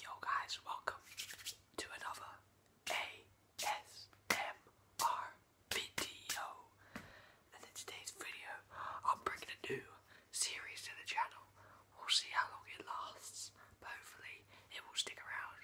Yo guys, welcome to another ASMR video. And in today's video, I'm bringing a new series to the channel. We'll see how long it lasts, but hopefully it will stick around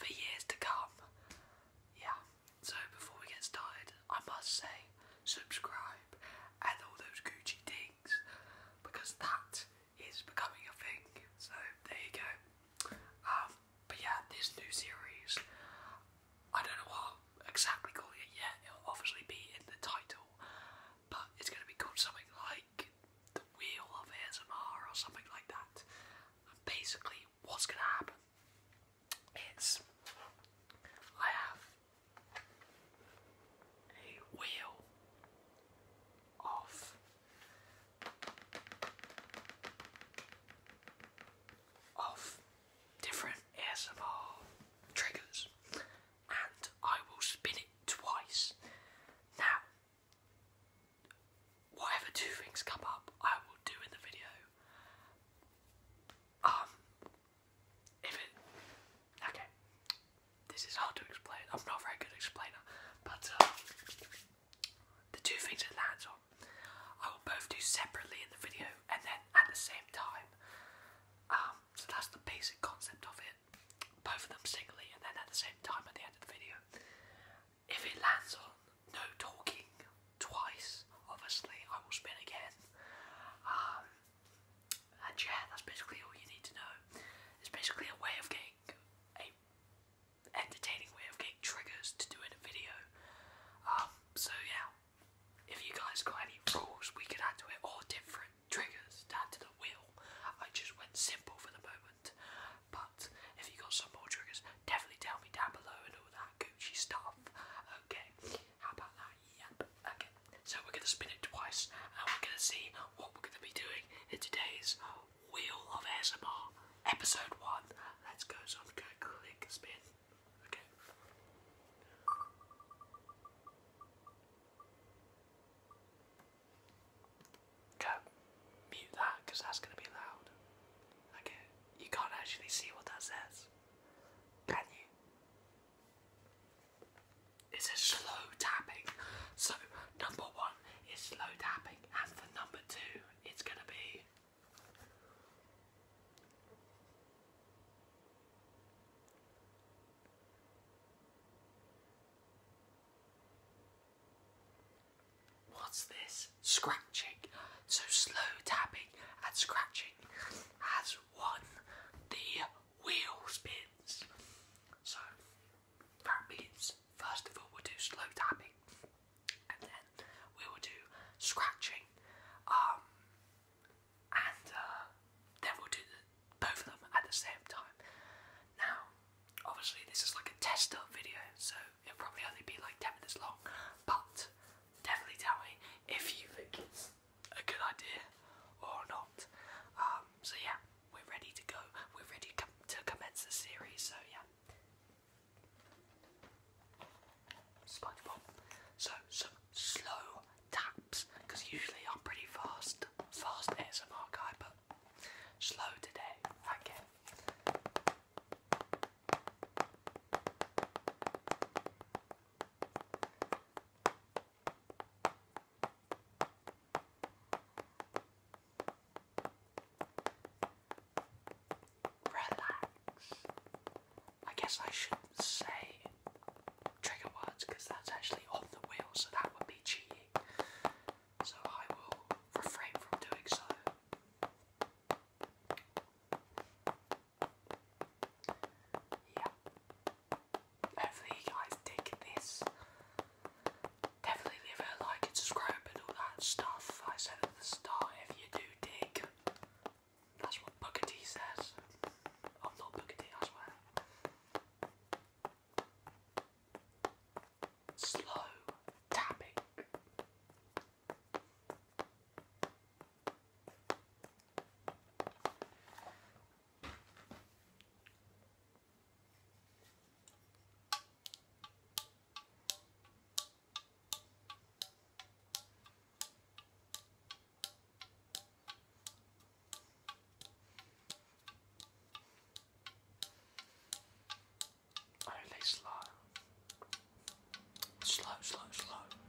for years to come. Yeah, so before we get started, I must say subscribe and all those Gucci things because that is becoming a thing. So there you go. Um, but yeah, this new series, I don't know what exactly calling it yet. It'll obviously be in the title, but it's going to be called something like the Wheel of ASMR or something like that. And basically, what's going to happen is I have a wheel off, of different ASMR triggers, and I will spin it twice. Now, whatever two things come up, I will do in the video. Um, if it okay, this is hard to explain. I'm not a very good explainer, but um, the two things it lands on, I will both do separately in the video and then at the same time. Um, so that's the basic concept of it. Both of them singly and then at the same time at the end of the video. If it lands on no talking twice, obviously I will spin again. Um, and yeah, that's basically all you need to know. It's basically a way of getting a entertaining way of getting triggers to do in a video. Um, so yeah, if you guys got any rules we could add to it or different triggers to to the wheel, I just went simple for the moment. But if you got some more triggers, definitely tell me down below and all that Gucci stuff. Okay, how about that? Yep. Okay. So we're gonna spin it twice, and we're gonna see what we're gonna be doing in today's Wheel of ASMR, episode one. Let's go. So I'm gonna click spin. Okay. Go. Mute that, that's gonna be loud. Okay. You can't actually see what that says. Can you? It's a slow tapping. So number one is slow tapping, and for number two, it's gonna be. What's this? Scratching. So slow tapping and scratching has won the wheel spins. So that means first of all we'll do slow tapping and then we will do scratching um, and uh, then we'll do both of them at the same time. Now obviously this is like a tester video so it'll probably only be like 10 minutes long but definitely tell me if you think it's a good idea or not. Um, so yeah, we're ready to go. We're ready to commence the series. So yeah, SpongeBob. So some slow taps because usually I'm pretty fast, fast ASMR guy, but slow today. Okay. Relax. I guess I shouldn't say trigger words because that's actually off the wheel, so that would be cheating. So I will refrain from doing so. Yeah. Hopefully you guys dig this. Definitely leave a like and subscribe and all that stuff I said at the start if you do dig. That's what Booker says. I'm not Booker T, I swear. Slow tapping. Only slow. Slow, slow, slow.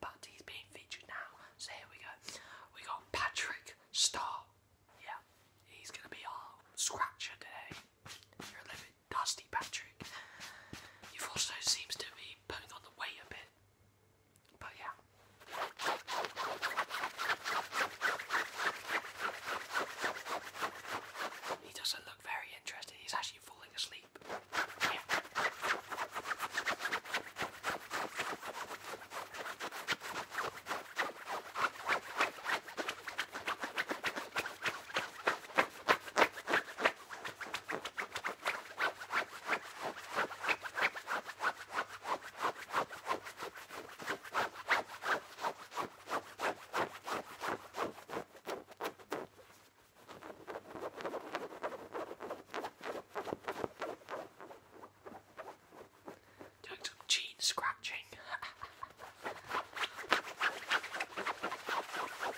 but he's being featured now. So here we go. We got Patrick Star. Yeah, he's gonna be our scratcher today. You're a little bit dusty, Patrick. You've also seems to be putting on the weight a bit. But yeah. He doesn't look very interested. He's actually actually falling asleep. Yeah. Doing some jean scratching.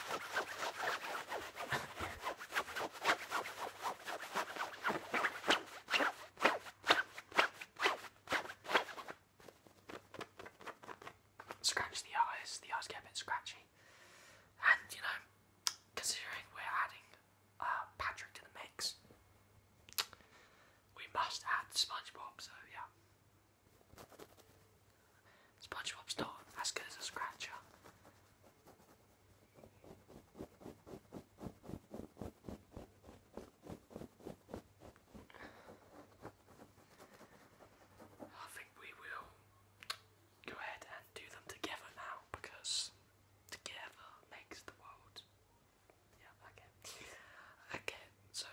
Scratch the eyes, the eyes get a bit scratchy. And, you know, considering we're adding uh, Patrick to the mix, we must add SpongeBob, so yeah. SpongeBob's not as good as a scratcher. I think we will go ahead and do them together now because together makes the world. Yeah, okay. Okay, so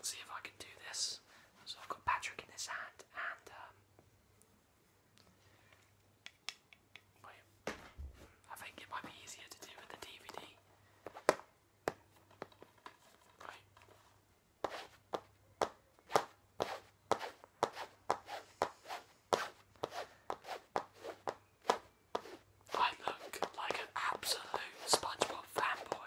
see if I can do this. So I've got Patrick in his hand and um, wait. I think it might be easier to do with the DVD. Right. I look like an absolute SpongeBob fanboy.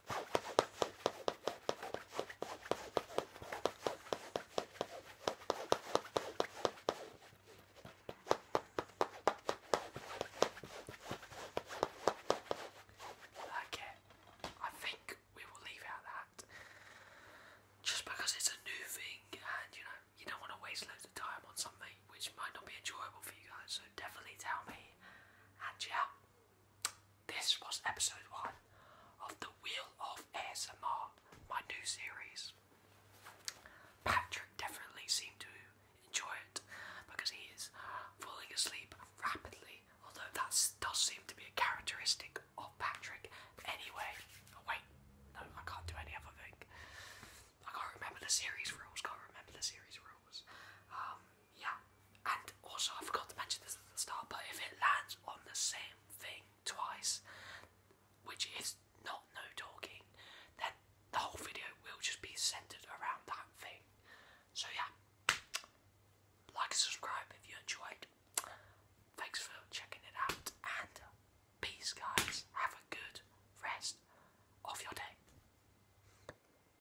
Like I think we will leave out that. Just because it's a new thing and you know, you don't want to waste loads of time on something which might not be enjoyable for you guys, so definitely tell me. And yeah. This was episode one of the Wheel of ASMR, my new series. Patrick definitely seemed to enjoy it because he is falling asleep rapidly, although that does seem to be a characteristic of Patrick anyway. Oh, wait, no, I can't do any other thing. I can't remember the series rules, can't remember the series rules. Um, yeah, and also I forgot to mention this at the start, but if it lands on the same thing twice, which is not no talking, then the whole video will just be centered around that thing. So yeah, like subscribe if you enjoyed. Thanks for checking it out, and peace, guys. Have a good rest of your day.